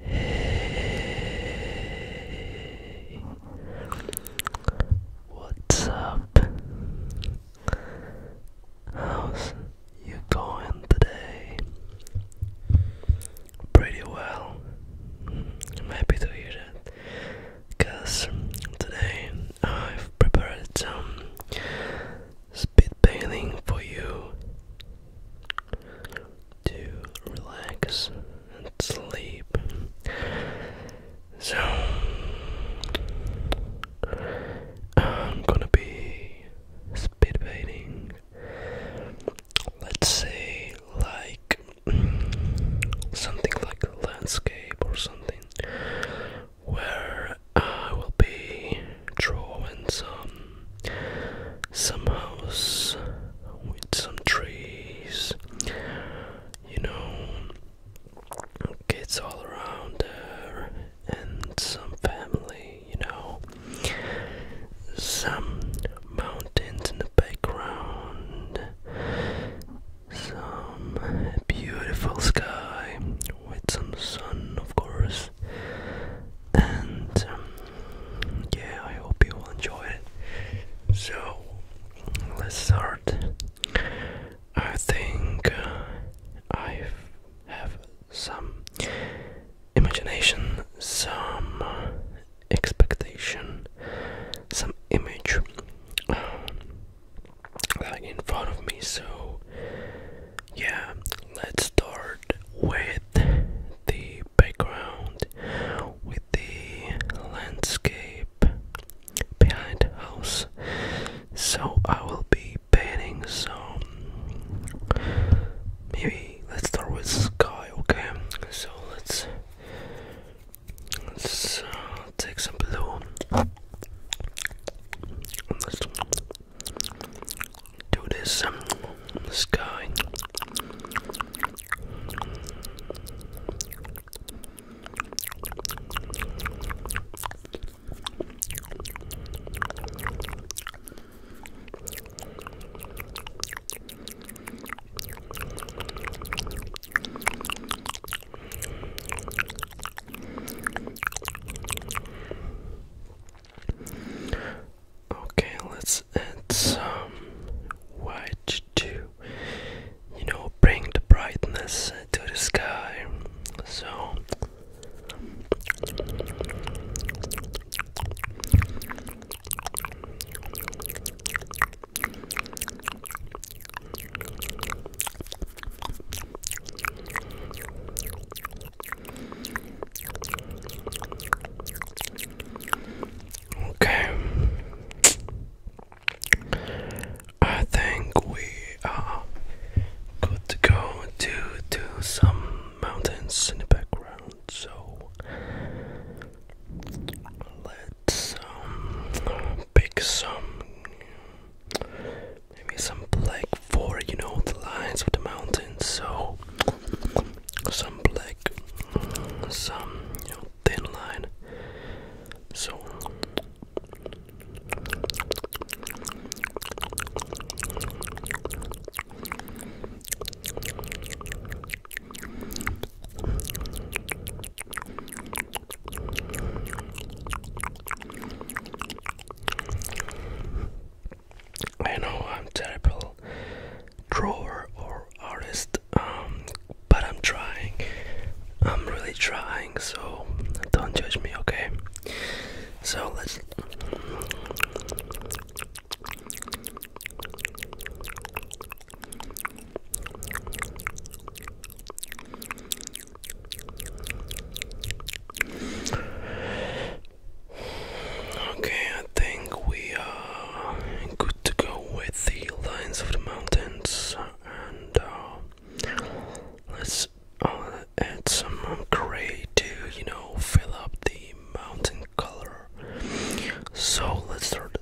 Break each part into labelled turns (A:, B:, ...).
A: Hey, what's up? How's you going today? Pretty well. I'm happy to hear that. Cause today I've prepared some spitballing for you to relax and sleep. So, I'm gonna be spitballing, let's say, like something like a landscape or something where I will be drawing some some house with some trees, you know, kids all around there, and some family, you know, some mountains in the background, some beautiful sky with some sun, of course. And um, yeah, I hope you will enjoy it. So let's start. I think uh, I have some imagination, some uh, expectation, some image like uh, in front of me, so yeah, let's start with the background, with the landscape behind the house. So I will be painting some. Maybe let's start with the sky, okay? So let's let's uh, take some blue. Let's do this. This um, Okay, let's add some white to, you know, bring the brightness to the sky. So. Okay. I think we are good to go to do some mountains in the background. So let some pick some maybe some black for you know the lines of the mountains so some black some you know thin line so I know I'm terrible drawer or artist, um, but I'm trying. I'm really trying, so don't judge me, okay? So let's. Okay, I think we are good to go with the lines of the mountains, and uh, let's uh, add some gray to you know fill up the mountain color. So let's start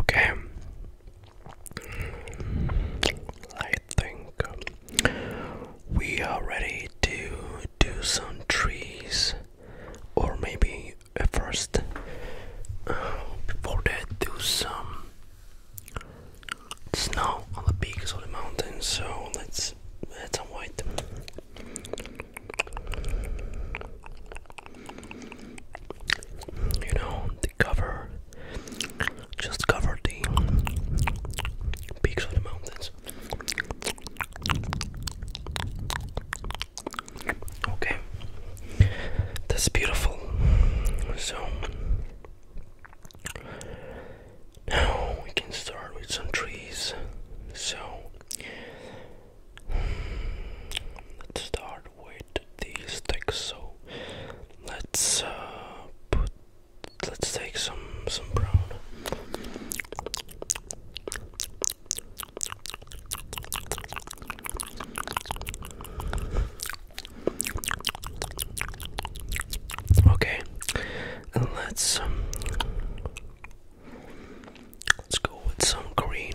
A: Okay. I think we are ready to do some trees, or maybe first, uh, before that, do some snow on the peaks of the mountains. So let's let's avoid them. You know, the cover, just cover the peaks of the mountains. Okay, that's beautiful. So, now we can start with some trees. So let's start with these sticks. So let's uh, put let's take some some brown. Okay, and let's um, let's go with some green.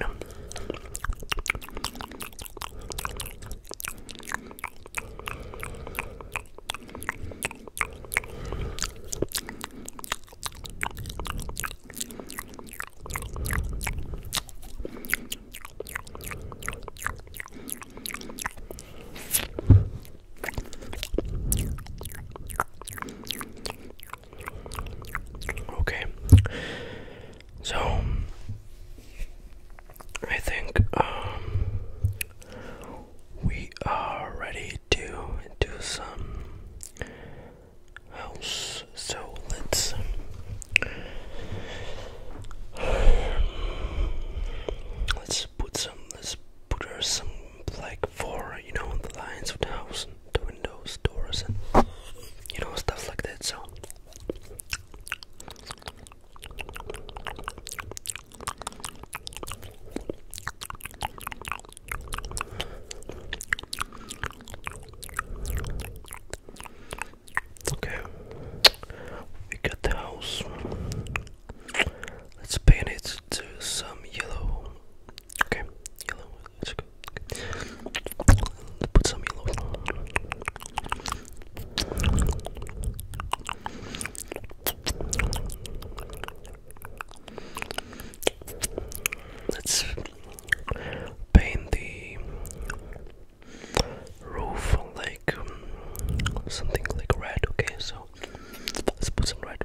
A: Okay. So I think um, we are ready to do some house. So let's let's put some let's put her some like for you know the lines of the house the windows, doors, and you know stuff like that. So. Okay, we got the house. Let's paint it to some yellow. Okay, yellow. Let's go. Put some yellow. Let's paint the roof like um, something like red okay so let's put some red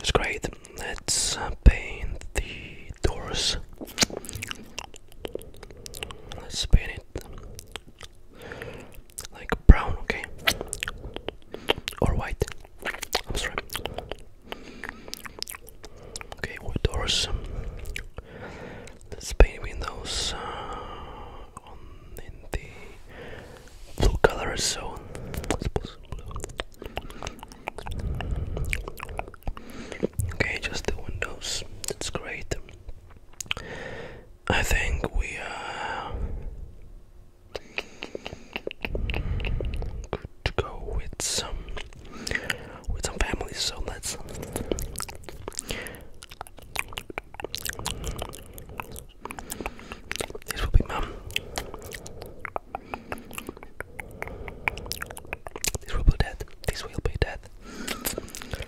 A: it's great let's uh, paint the doors let's paint it like brown, okay, or white. I'm sorry. Okay, with doors. let windows on in the blue color zone. Okay, just the windows. That's great. I think we are uh, good to go with some with some families. So let's. This will be mum. This will be death. This will be death.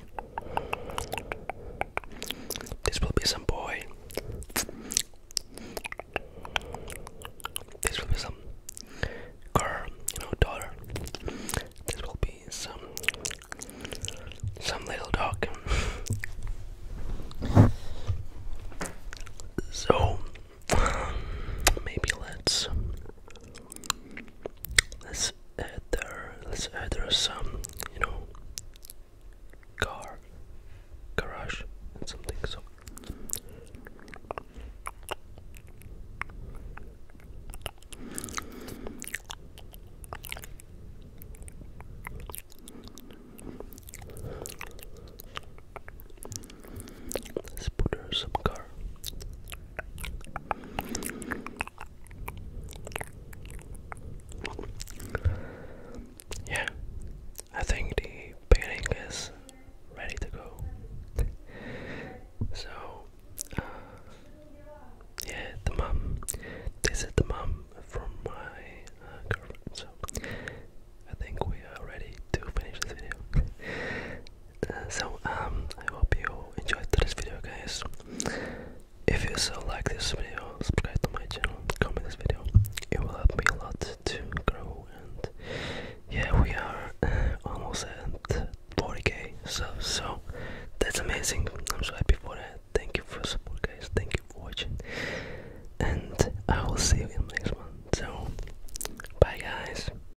A: This will be some boy. This will be some girl, you know, daughter. This will be some some little dog. So maybe let's Let's add there. Let's add there some, you know, car, garage, something. So. Let's put her some car. Yeah, I think the painting is ready to go. so, uh, yeah, the mom. This is the mom from my uh, girlfriend. So, I think we are ready to finish this video so um I hope you enjoyed this video guys. If you so like this video, subscribe to my channel, comment this video. It will help me a lot to grow and yeah we are uh, almost at 40k so so that's amazing. I'm so happy for that. Thank you for support guys, thank you for watching and I will see you in the next one. So bye guys.